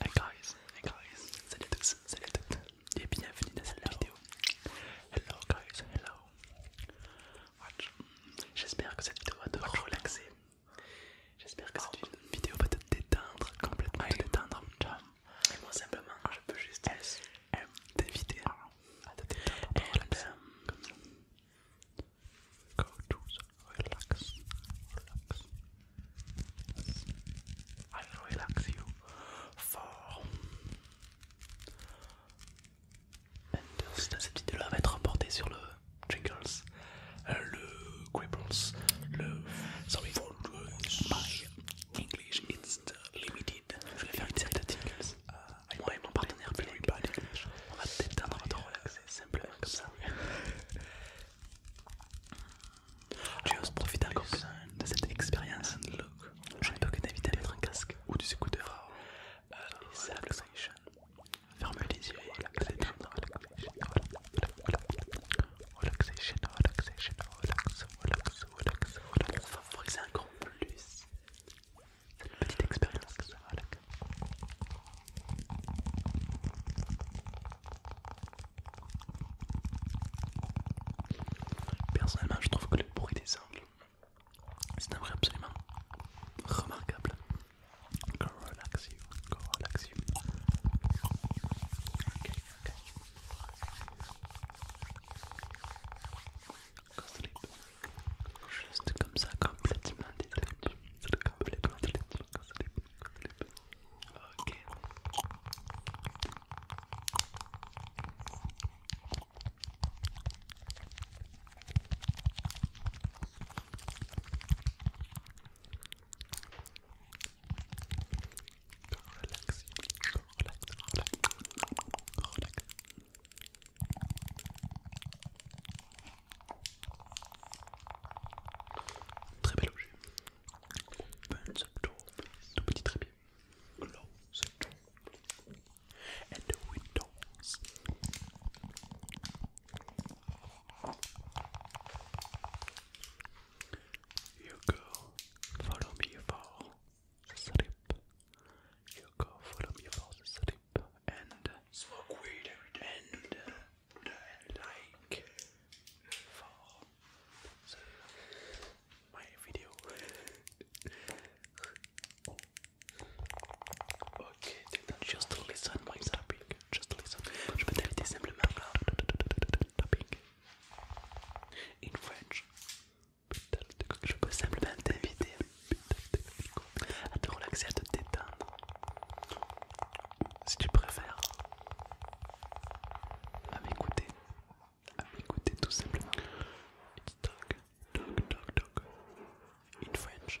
Hey guys, hey guys, salut à tous, salut toutes et bienvenue dans cette vidéo. Hello guys, hello. J'espère que cette vidéo va te relaxer. J'espère que oh. cette vidéo va te détendre, complètement te détendre. Et moi simplement, je peux juste t'inviter à te détendre, go to the relax, relax. I'll relax you for Understand. Cette vidéo va être emportée sur le Jingles, euh, le Quibbles, le Sorry for My English, it's limited. Je vais faire une série Jingles moi ah, et mon partenaire on va te relaxer comme ça. Tu profiter encore plus de cette expérience. Je pas que mettre un casque ou des s'écouter. Oh. Euh, ah, relaxation. Ferme les yeux et relaxation, favoriser encore plus cette petite expérience que ça va Personnellement, je trouve que le bruit des angles, c'est un bruit absolument remarquable. Go relax you, relax Juste comme ça, complètement détendu. Complètement détendu. Ok. Relax, relax, relax, relax. Très bel objet. Burns up top, tout petit trépied. Close up top. And the windows. You go, follow me for asleep. You go for them, you fall asleep and smoke weed every day and, like fall. my video. ok, just listen my tapping, just listen. Je peux t'inviter simplement à tapping. In French. Je peux simplement t'inviter à te relaxer, à te détendre, si tu préfères, à m'écouter, à m'écouter tout simplement. It's dog, dog, dog, In French,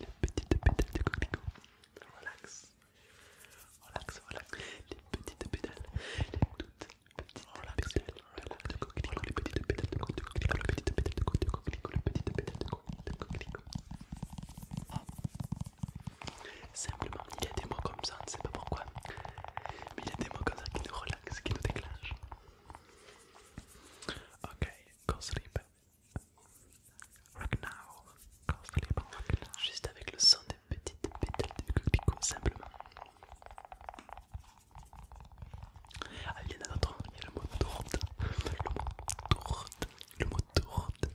les petites pédales de coquelicot. Relax. Relax, relax. Les petites pétales. Les toutes petites relax. de coquelicot. Les petites pétales de coquelicot. Les petites pétales de coquelicot. Les petites pétales de coquelicot. Simplement, il y a des mots comme ça, on ne sait pas pourquoi. Mais il y a des mots comme ça qui nous relaxent, qui nous déclenchent. Ok. Go sleep. Rock now. Go sleep. Juste avec le son des petites pétales de coquelicot, simplement. Ah, il y en a d'autres, il y a le mot tourte, Le mot tourte, Le mot tourte,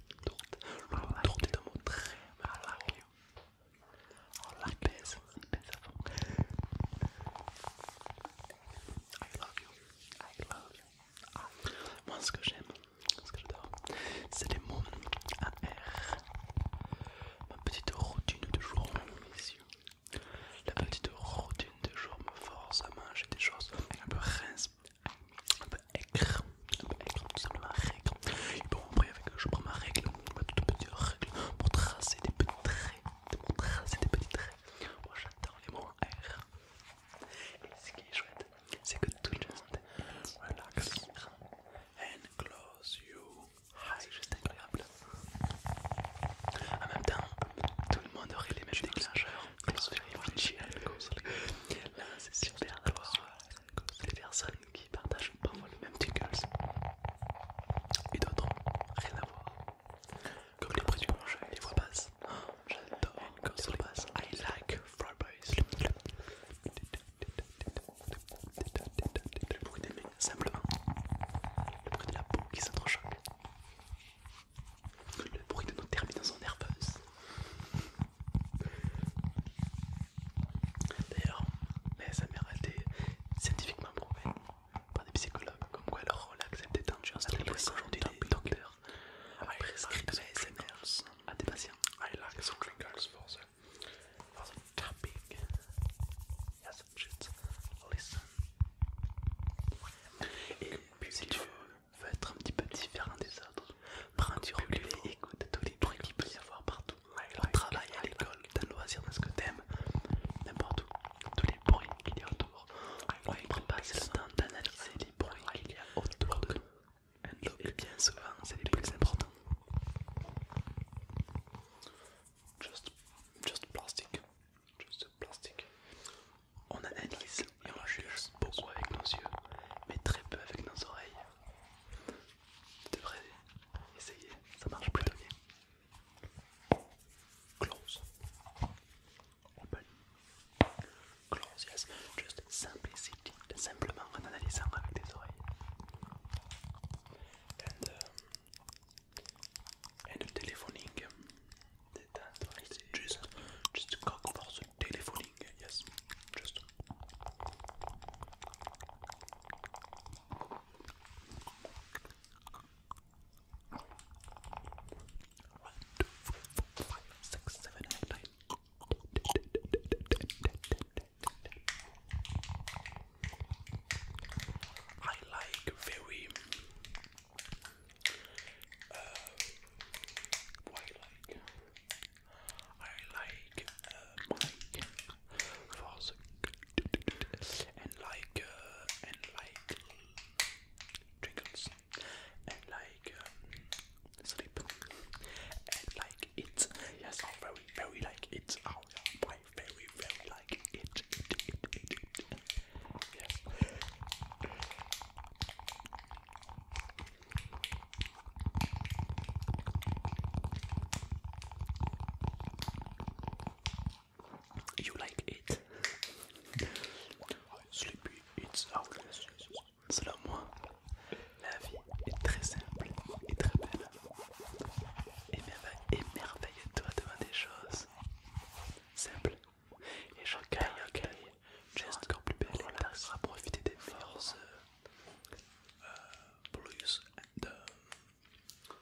Le mot est un mot très malin, On oh, la mais on la I love Moi ce que j'aime, ce que j'adore, c'est les mots à R. Ma petite routine de jour, messieurs. La petite routine de jour me force à manger des choses un peu rince, un peu aigre, un peu aigre, tout simplement règle. Et bon, après, avec, je prends ma règle, ma toute petite règle pour tracer des petits traits, pour tracer des petits traits. Moi oh, j'adore les mots R. Et ce qui est chouette, c'est que tout le monde relax and close you. c'est juste incroyable. En même temps, tout le monde aurait les mêmes déclencheurs. Là, c'est super d'avoir les personnes qui partagent pas le même tickles et d'autres rien à voir. Comme les prix du marché, les voix basse. J'adore oh, une les passe. I like boys. Le bruit des mains, simplement. Le bruit de la peau qui s'entrechoque. Le bruit de nos terminaisons nerveuses. D'ailleurs, mais ça a été scientifiquement prouvé par des psychologues, comme quoi leur relax et détention c'est le aujourd'hui des docteurs prescrivent ASMR à des patients. I like the crinkles for the, listen. Et si tu veux être un petit peu différent des autres, prends du recul et écoute tous les bruits qu'il peut y avoir partout on travail, à l'école, dans le loisir, dans ce que t'aimes, n'importe où, tous les bruits qu'il y a autour. On pas le temps d'analyser les bruits qu'il y a autour de nous. Et bien souvent, c'est le plus important. juste just plastic. On analyse et on juge beaucoup avec nos yeux, mais très peu avec nos oreilles. Tu devrais essayer, ça marche plutôt bien. Close. Open. Close, yes. Just simplicity, simplement en analysant avec des oreilles. And, uh, and telephoning. juste just, just cock for the telephoning, yes. Just. One, two, three, four, five, six, seven, eight, nine. I like very uh, I like uh, my faucet and like uh, and like trinkles and like um, and like it. Yes, I oh, very very like it. Oh, yeah, I very very like it. Yes. You like it? Sleepy, it's Selon moi, la vie est très simple et très belle. Émerveille-toi devant des choses simples. Et j'ai just plus belle. profiter des forces. blues euh, euh, de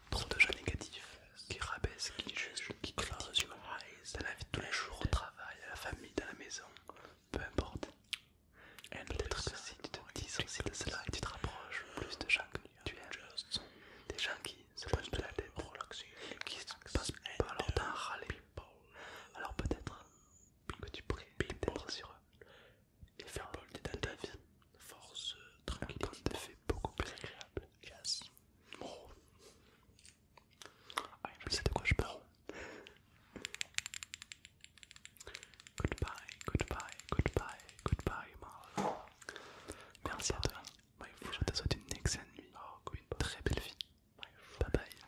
trop négatifs, qui rabaissent, qui juge, qui critique, dans la vie de tous les jours, au travail, à la famille, dans la maison, peu importe. Peut-être que si tu te aussi de cela et tu te rapproches plus de gens que tu aimes, des gens qui se posent de la tête, qui passent pas leur temps à râler, alors peut-être que tu pourrais t'être sur eux et Firebolt est dans ta vie. Force tranquille. Euh, Un fait beaucoup plus agréable. Yes. Oh. je ah, sais de quoi je parle. goodbye, goodbye, goodbye, goodbye, Merci à toi. je te souhaite une excellente nuit. Oh, une très belle vie. Bye bye.